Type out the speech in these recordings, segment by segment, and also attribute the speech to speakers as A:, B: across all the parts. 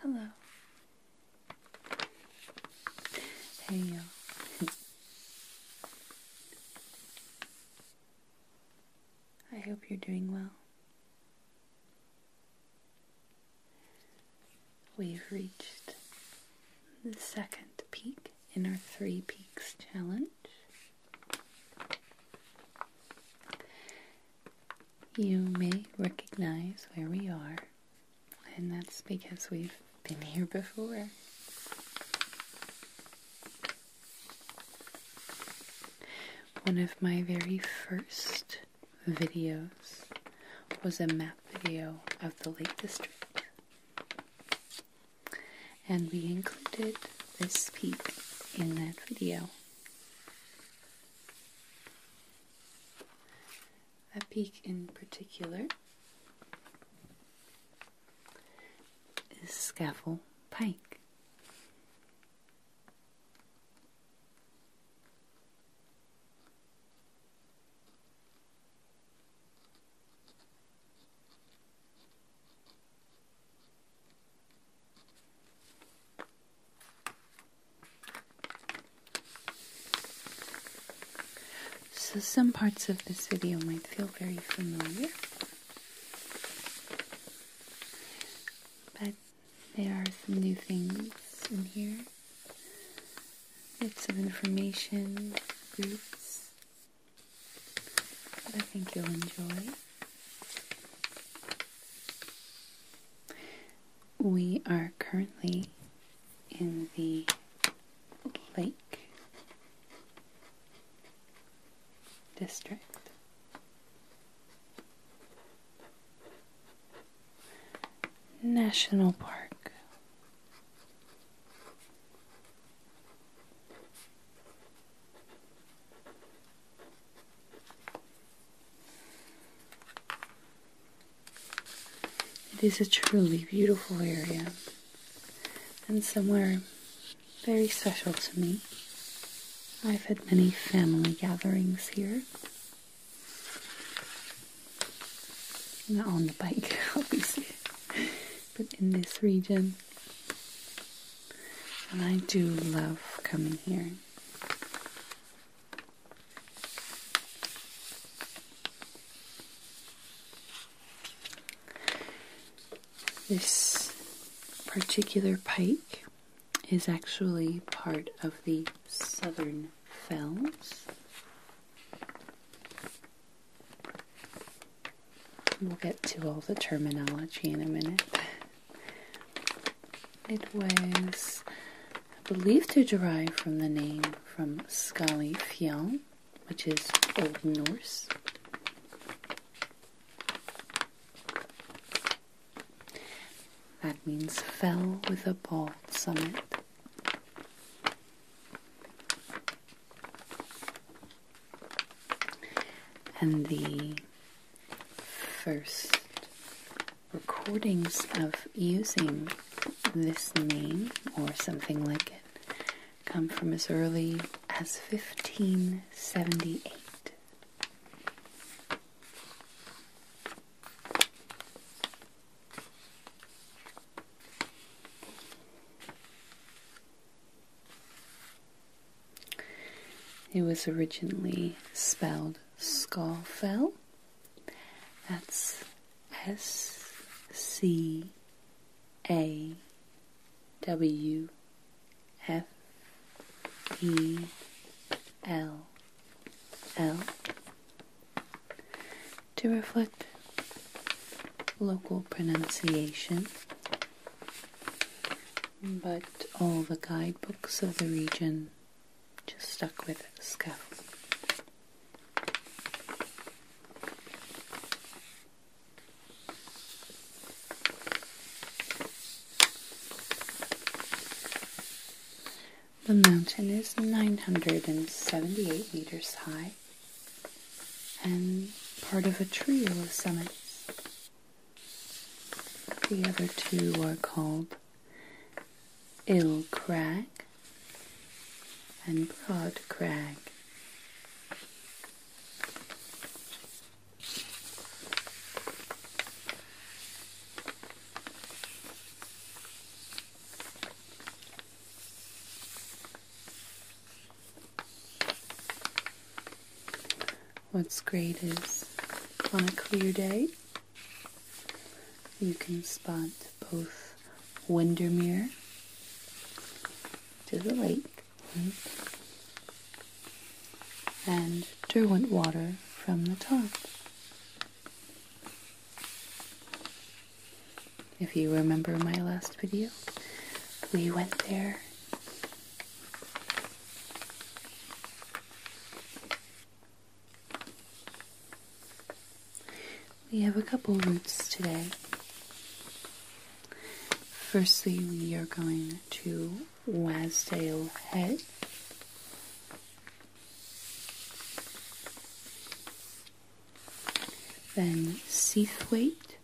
A: Hello. There you go. I hope you're doing well. We've reached the second peak in our Three Peaks Challenge. You may recognize where we are, and that's because we've been here before. One of my very first videos was a map video of the Lake District. And we included this peak in that video. A peak in particular is Scaffold Pike. So, some parts of this video might feel very familiar, but there are some new things in here. Bits of information, groups that I think you'll enjoy. We are currently in the lake district. National Park. It is a truly beautiful area and somewhere very special to me. I've had many family gatherings here, not on the bike, obviously, but in this region. And I do love coming here. This particular pike is actually part of the Southern Fells. We'll get to all the terminology in a minute. It was believed to derive from the name from Skali Fjall, which is Old Norse. That means fell with a bald summit. And the first recordings of using this name or something like it come from as early as 1578. It was originally spelled Scarfell. That's S C A W F E L L to reflect local pronunciation, but all the guidebooks of the region just stuck with scaffold. The mountain is 978 meters high and part of a trio of summits. The other two are called Ill Crag and Broad Crag. What's great is on a clear day, you can spot both Windermere to the lake and Derwent water from the top. If you remember my last video, we went there. We have a couple routes today. Firstly, we are going to Wasdale head. Then Seathwaite,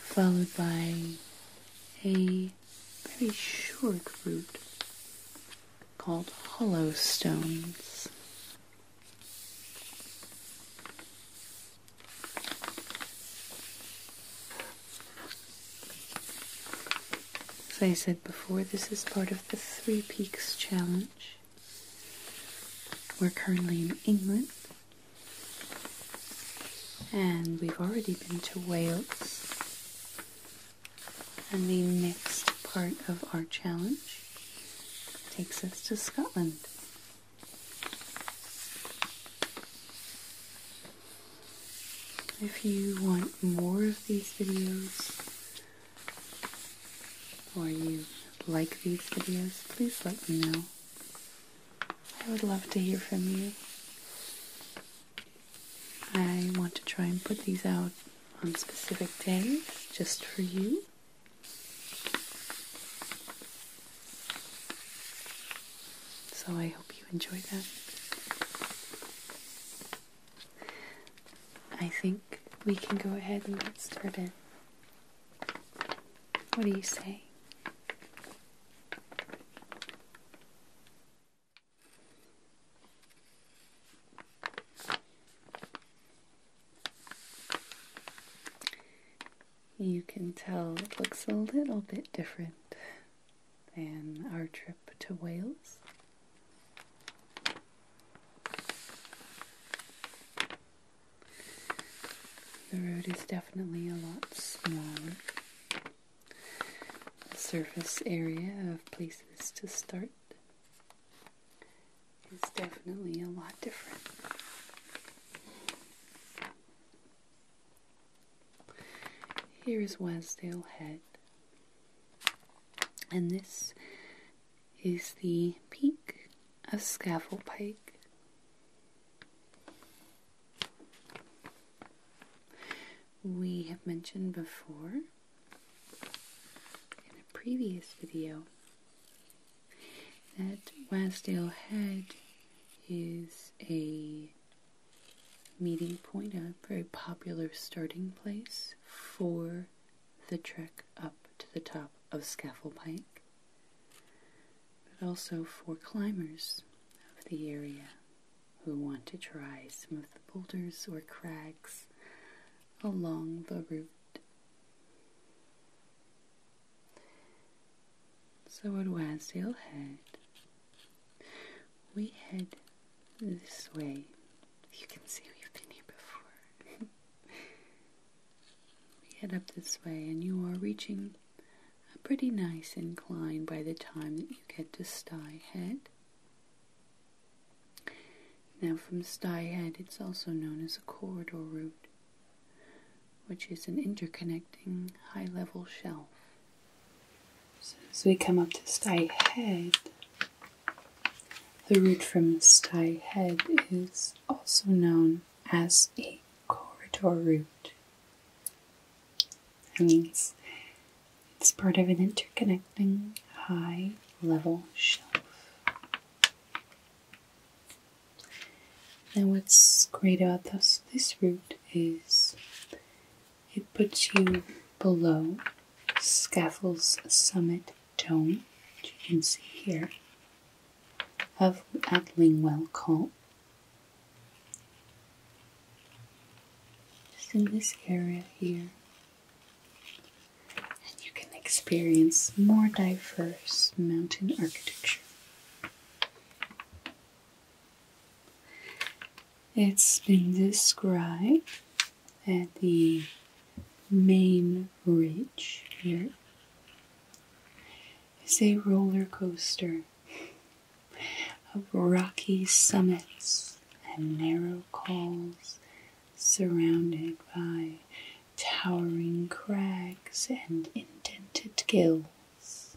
A: followed by a very short route called Hollow Stones. As I said before, this is part of the Three Peaks Challenge. We're currently in England, and we've already been to Wales. And the next part of our challenge takes us to Scotland. If you want more of these videos or you like these videos, please let me know. I would love to hear from you. I want to try and put these out on specific days just for you. So I hope you enjoy that. I think we can go ahead and get started. What do you say? You can tell it looks a little bit different than our trip to Wales. The road is definitely a lot smaller. The surface area of places to start is definitely a lot different. Here is Wasdale Head, and this is the peak of Scafell Pike. We have mentioned before in a previous video that Wasdale Head is a meeting point, a very popular starting place for the trek up to the top of Scafell Pike, but also for climbers of the area who want to try some of the boulders or crags along the route. So at Wasdale Head, we head this way. You can see we've been here before. we head up this way, and you are reaching a pretty nice incline by the time that you get to Sty Head. Now, from Sty Head, it's also known as a corridor route which is an interconnecting high level shelf. So as we come up to Sty Head, the route from Sty Head is also known as a corridor route. That means it's part of an interconnecting high level shelf. And what's great about this, this route is it puts you below Scafell's summit dome, which you can see here, of at Col. Just in this area here. And you can experience more diverse mountain architecture. It's been described at the main ridge here is a roller coaster of rocky summits and narrow cols surrounded by towering crags and indented gills.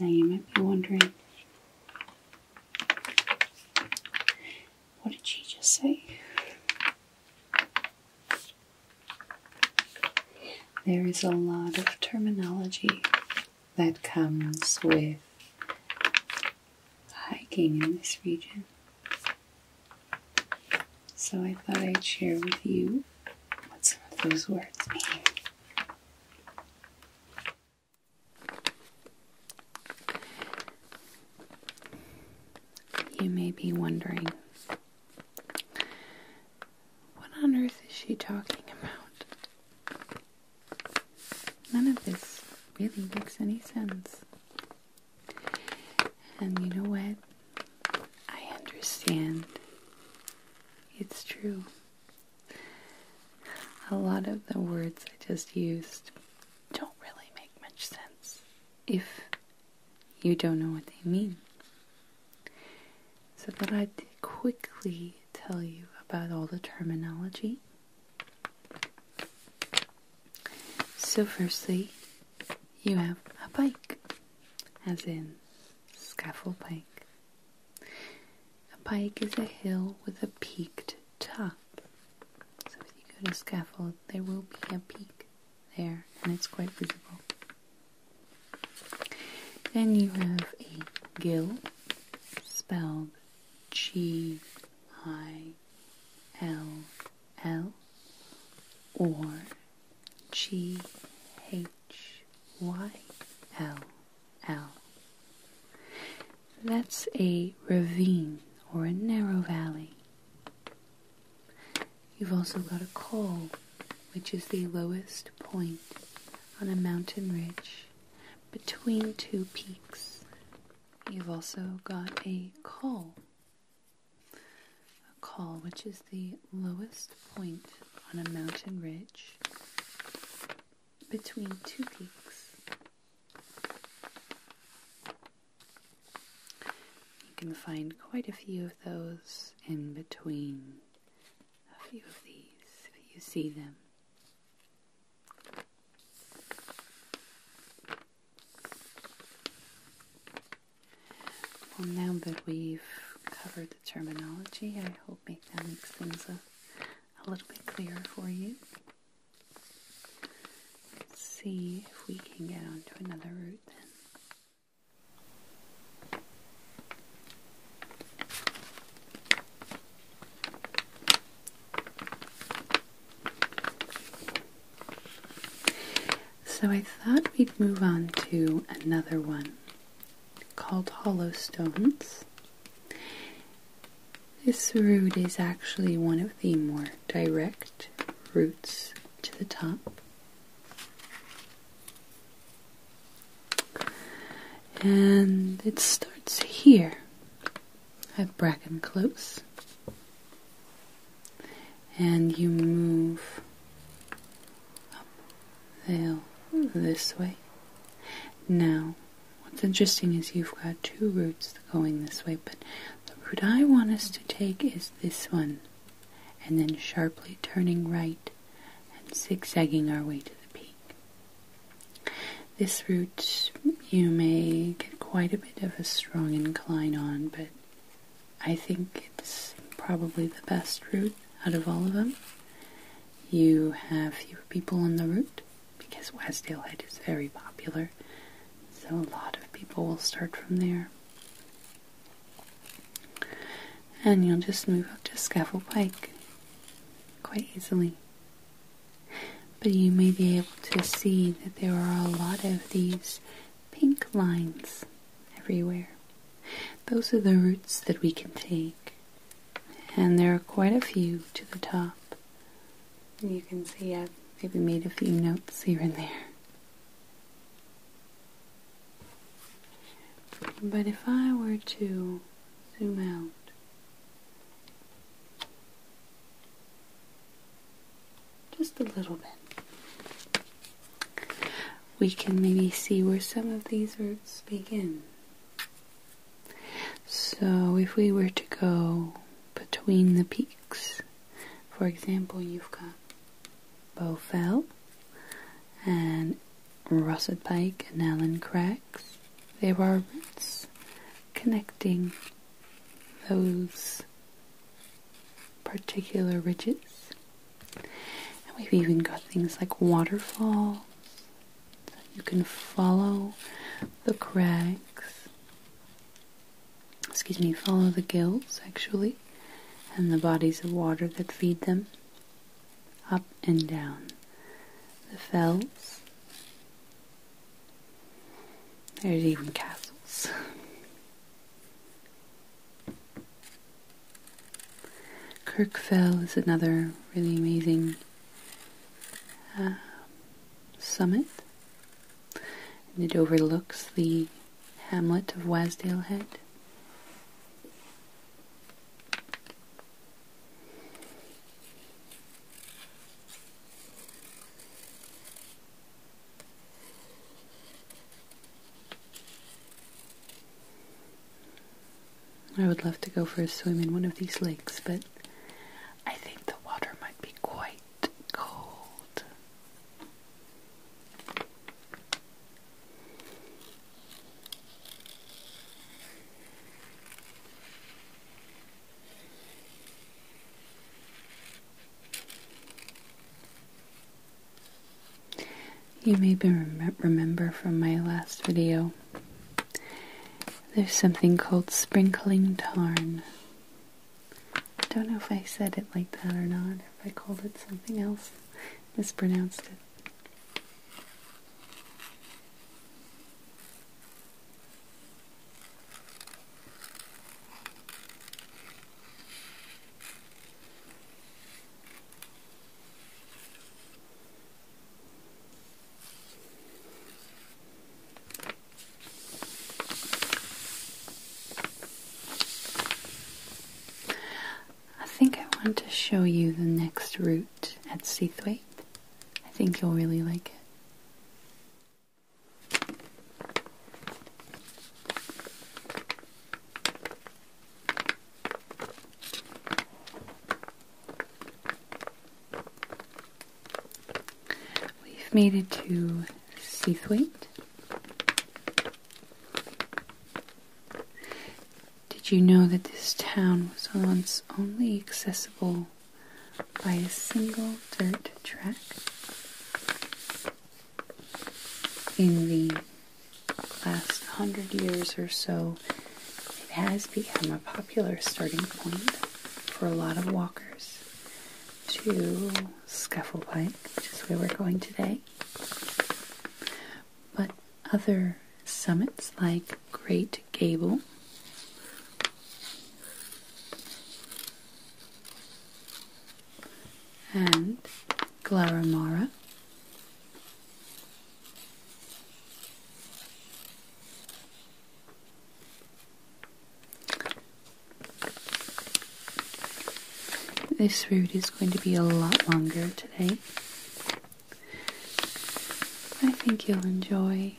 A: Now you might be wondering, what did she just say? There is a lot of terminology that comes with hiking in this region. So I thought I'd share with you what some of those words mean. You may be wondering, what on earth is she talking about? None of this really makes any sense. And you know what? I understand. It's true. A lot of the words I just used don't really make much sense if you don't know what they mean. So, that I'd quickly tell you about all the terminology. So, firstly, you have a bike, as in scaffold bike, a pike is a hill with a peaked top. So if you go to scaffold, there will be a peak there, and it's quite visible. Then you have a gill, spelled G I L L or G H Y L L. That's a ravine or a narrow valley. You've also got a col, which is the lowest point on a mountain ridge between two peaks. You've also got a col, a col which is the lowest point on a mountain ridge between two peaks. You can find quite a few of those in between a few of these if you see them. Well, now that we've covered the terminology, I hope make that makes things a a little bit clearer for you. Let's see if we can get onto another route then. So I thought we'd move on to another one called hollow stones. This root is actually one of the more direct roots to the top. And it starts here at Bracken Close. And you move up the this way. Now What's interesting is you've got two routes going this way, but the route I want us to take is this one. And then sharply turning right and zigzagging our way to the peak. This route you may get quite a bit of a strong incline on, but I think it's probably the best route out of all of them you have fewer people on the route because West Head is very popular. So a lot of people will start from there. And you'll just move up to Scaffold Pike quite easily. But you may be able to see that there are a lot of these pink lines everywhere. Those are the routes that we can take and there are quite a few to the top. You can see I've maybe made a few notes here and there. But if I were to zoom out, just a little bit, we can maybe see where some of these roots begin. So if we were to go between the peaks, for example, you've got Bowfell and Russet Pike and Allen Cracks. There are routes connecting those particular ridges. And we've even got things like waterfalls you can follow the crags, excuse me, follow the gills actually, and the bodies of water that feed them up and down the fells. There's even castles. Kirkfell is another really amazing uh, summit, and it overlooks the hamlet of Wasdale Head. I would love to go for a swim in one of these lakes, but I think the water might be quite cold. You may be remember from my last video there's something called sprinkling tarn. I don't know if I said it like that or not, if I called it something else, mispronounced it. I think I want to show you the next route at Seathwaite. I think you'll really like it. We've made it to Seathwaite. Did you know that this town was once only accessible by a single dirt track? In the last hundred years or so, it has become a popular starting point for a lot of walkers to Scufflepike, which is where we're going today. But other summits like Great Gable and Glaramara this route is going to be a lot longer today. I think you'll enjoy.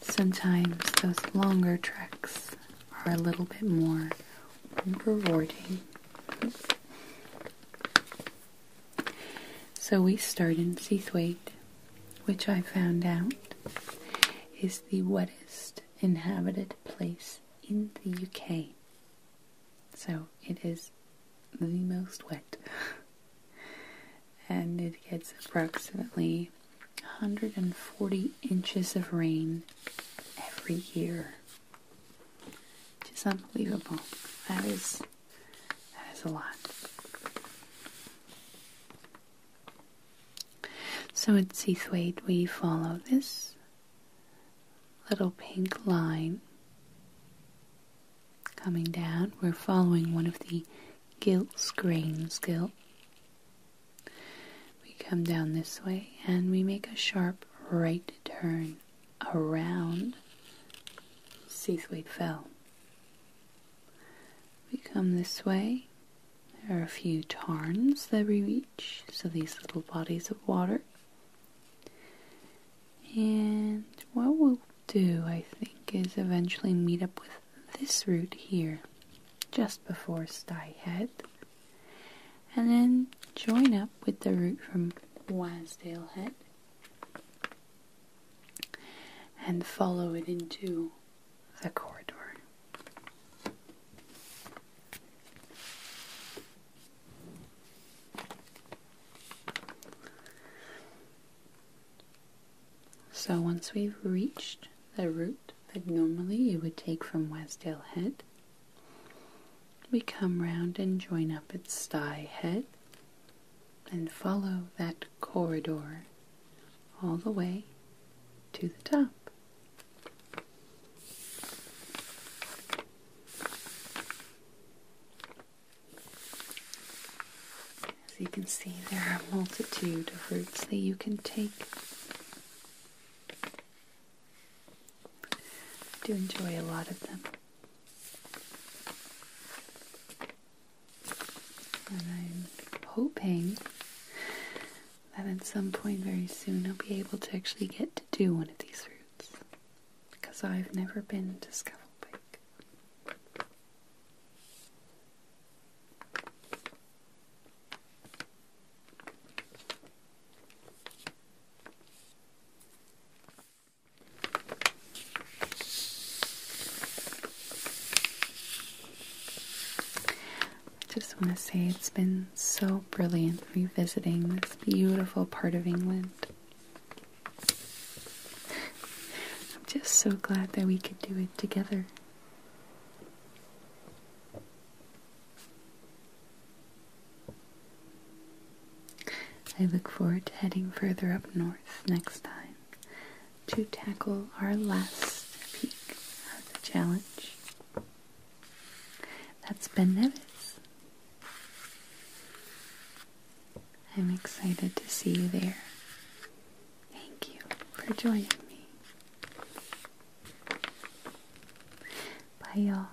A: Sometimes those longer treks are a little bit more rewarding. So we start in Seathwaite, which I found out is the wettest inhabited place in the UK. So it is the most wet. and it gets approximately 140 inches of rain every year. Just unbelievable. That is that is a lot. So at Seathwaite, we follow this little pink line coming down. We're following one of the gilt grains gilt. We come down this way and we make a sharp right turn around Seathwaite Fell. We come this way. There are a few tarns that we reach, so these little bodies of water. And what we'll do, I think, is eventually meet up with this route here, just before Sty Head, and then join up with the route from Wasdale Head and follow it into the corridor. So once we've reached the route that normally you would take from Westdale Head, we come round and join up at Sty Head and follow that corridor all the way to the top. As you can see, there are a multitude of routes that you can take. do enjoy a lot of them. I'm hoping that at some point very soon I'll be able to actually get to do one of these routes because I've never been to Scuffleback. I just want to say it's been so brilliant revisiting this beautiful part of England. I'm just so glad that we could do it together. I look forward to heading further up north next time to tackle our last peak of the challenge. That's Ben Nevis. I'm excited to see you there. Thank you for joining me. Bye, y'all.